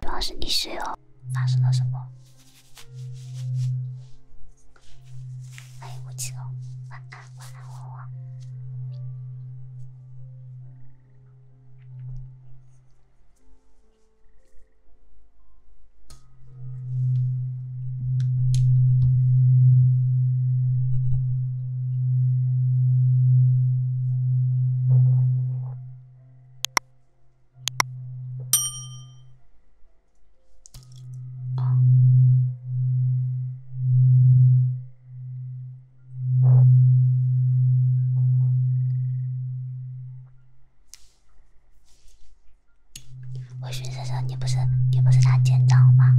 主要是你睡后发生了什么？欢迎五七哦，晚安，晚安，花花。我寻思着，你不是你不是他见到吗？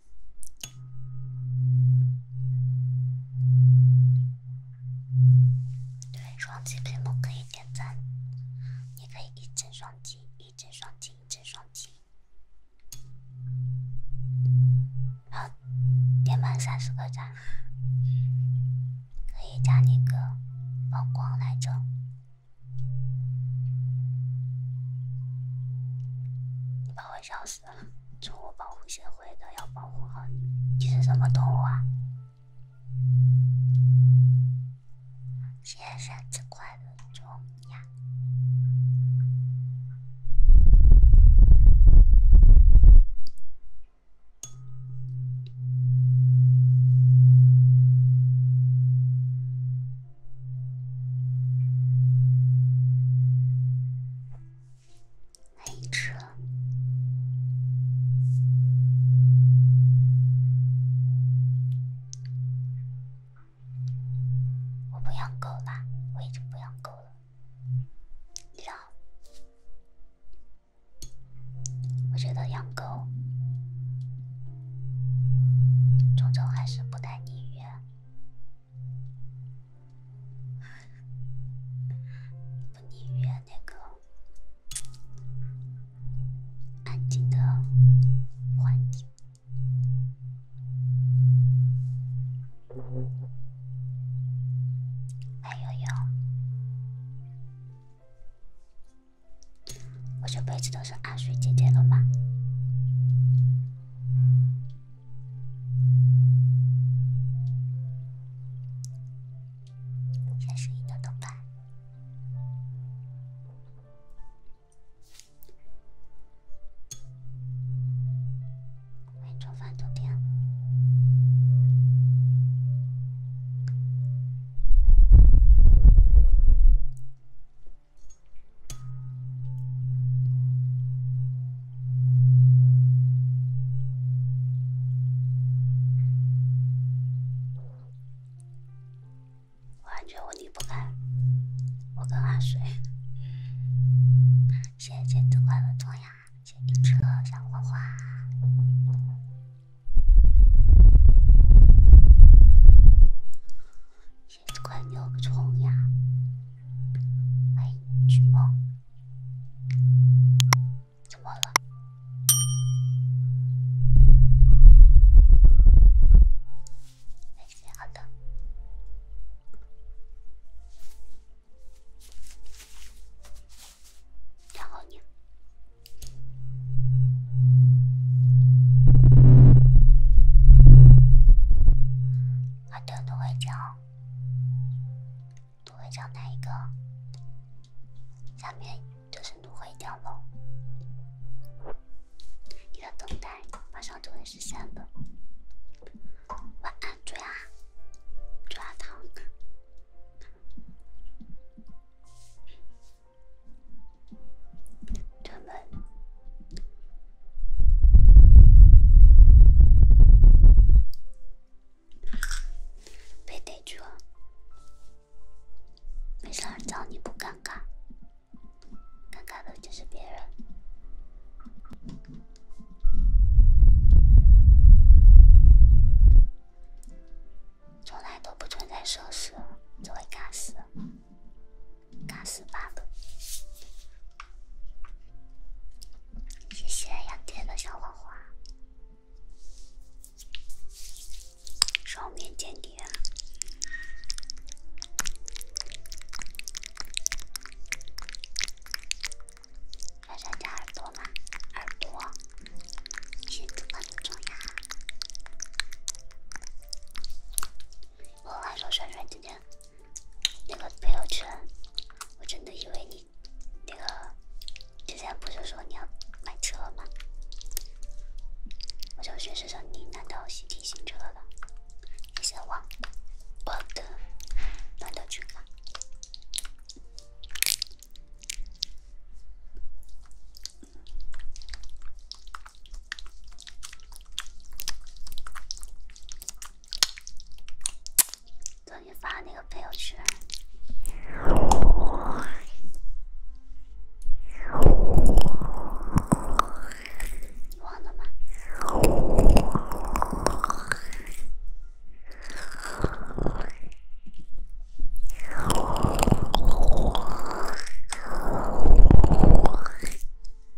对，双击屏幕可以点赞，你可以一直双击，一直双击，一直双击，好，点满三十个赞，可以加那个曝光来着，你把我笑死。宠物保护协会的要保护好你。你是什么动物啊？谢生，真快乐，重呀。黑车，我不养狗了，我已经不养狗了。养，我觉得养狗终究还是不太宁愿。不，你约那个安静的环境。哎呦呦，我这辈子都是阿水姐姐了吗？先试一等等吧。欢迎做饭昨天。我感觉我离不开我跟阿水。谢谢剪纸快乐冲呀，谢谢你直的小花花，谢谢快乐冲呀，欢哎，去梦。怎么了？没事，好的。然后你，芦荟胶哪一个？下面就是芦荟胶喽。你的等待马上就会实现的。晚安，猪牙，猪牙糖，被逮住，没事儿找你不尴尬，尴尬的就是别人，从来都不存在说死，只会尬死，尬死罢了。谢谢杨天的小花花，双面清洁。耳朵耳朵，重我还说那个朋友圈，我真的以为你那个之前不是说你要买车吗？我就学思着你难道喜提新车了？你先忘，我的，难道去看。昨天发的那个朋友圈，忘了吗？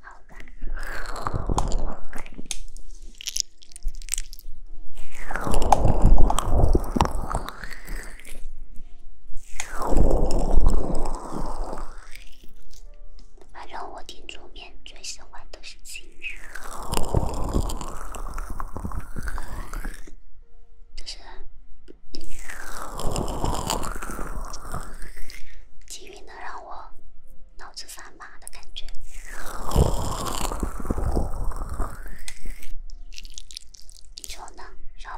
好吧，反正我听桌面最喜欢的是金鱼，就是金鱼能让我。脑子发麻的感觉，你说呢，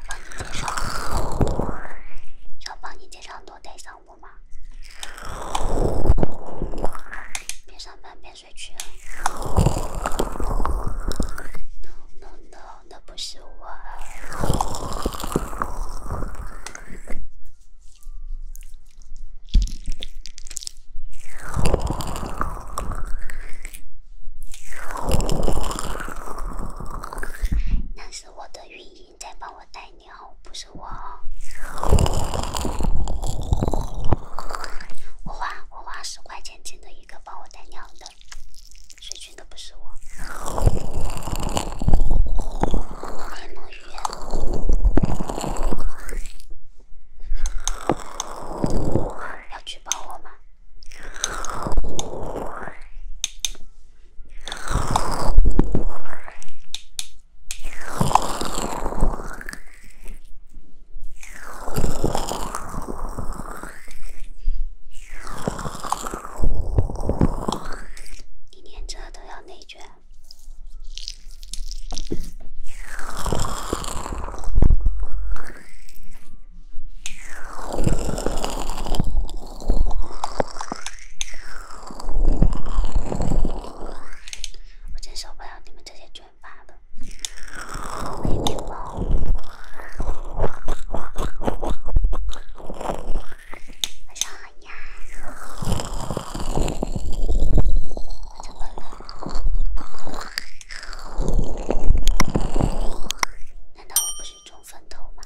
帮你介绍，胖？小帮你介绍。要多带上我吗？边上班边睡去？No No No，那不是我。那是我的运营在帮我带尿，不是我。我花我花十块钱请的一个帮我带尿的，说句都不是我。要举报我吗？你连这都要内卷？我真受不了你们这些卷发的。晚上好。难道我不是中分头吗？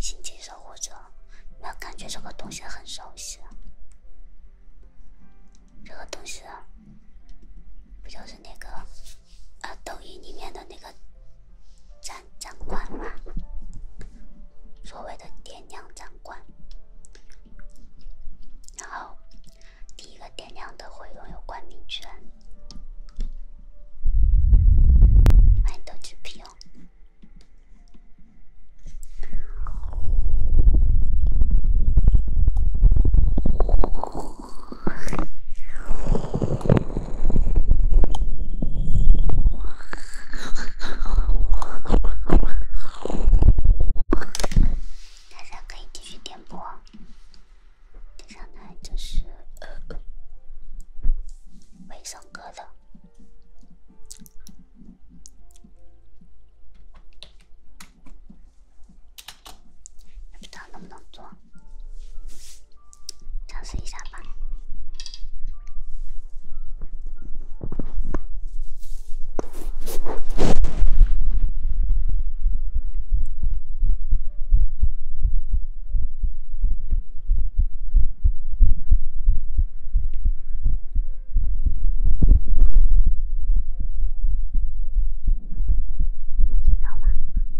星际守护者，我感觉这个东西很熟悉。这个东西不就是那个？啊，抖音里面的那个展展馆嘛，所谓的点亮展馆，然后第一个点亮的会拥有冠名权，欢迎豆汁皮哦。大家可以继续点播，接下来就是呃，没唱歌的，不知道能不能做。尝试一下吧。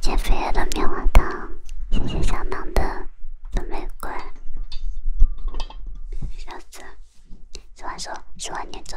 减肥的棉花糖，谢谢小狼的。玫瑰，小子，十万说，十万年咒。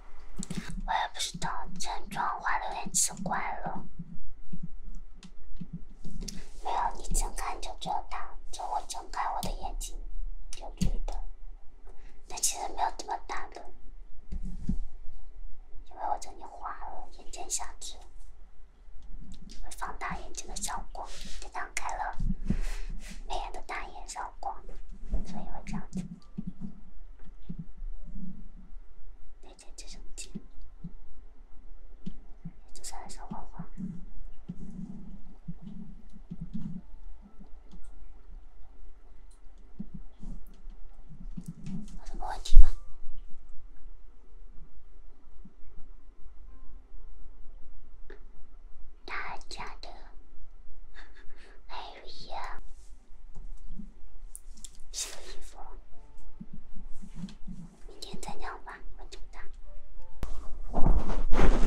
我也不知道，这妆化的有点奇怪了。没有，你睁开就觉得就我睁开我的眼睛就觉得，但其实没有这么大的。因为我这里画了眼睑下垂，会放大眼睛的效果，这张开了美颜的大眼效果，所以会这样子。连接直升机，这是小娃娃，我寂寞，大家的，哎呀。洗个衣服，明天再聊吧，晚安，么么哒。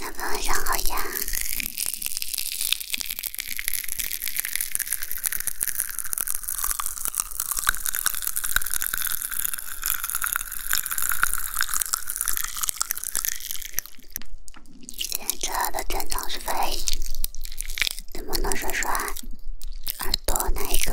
宝宝晚上好呀。检测的正常是肺，怎么能说出耳朵那一个？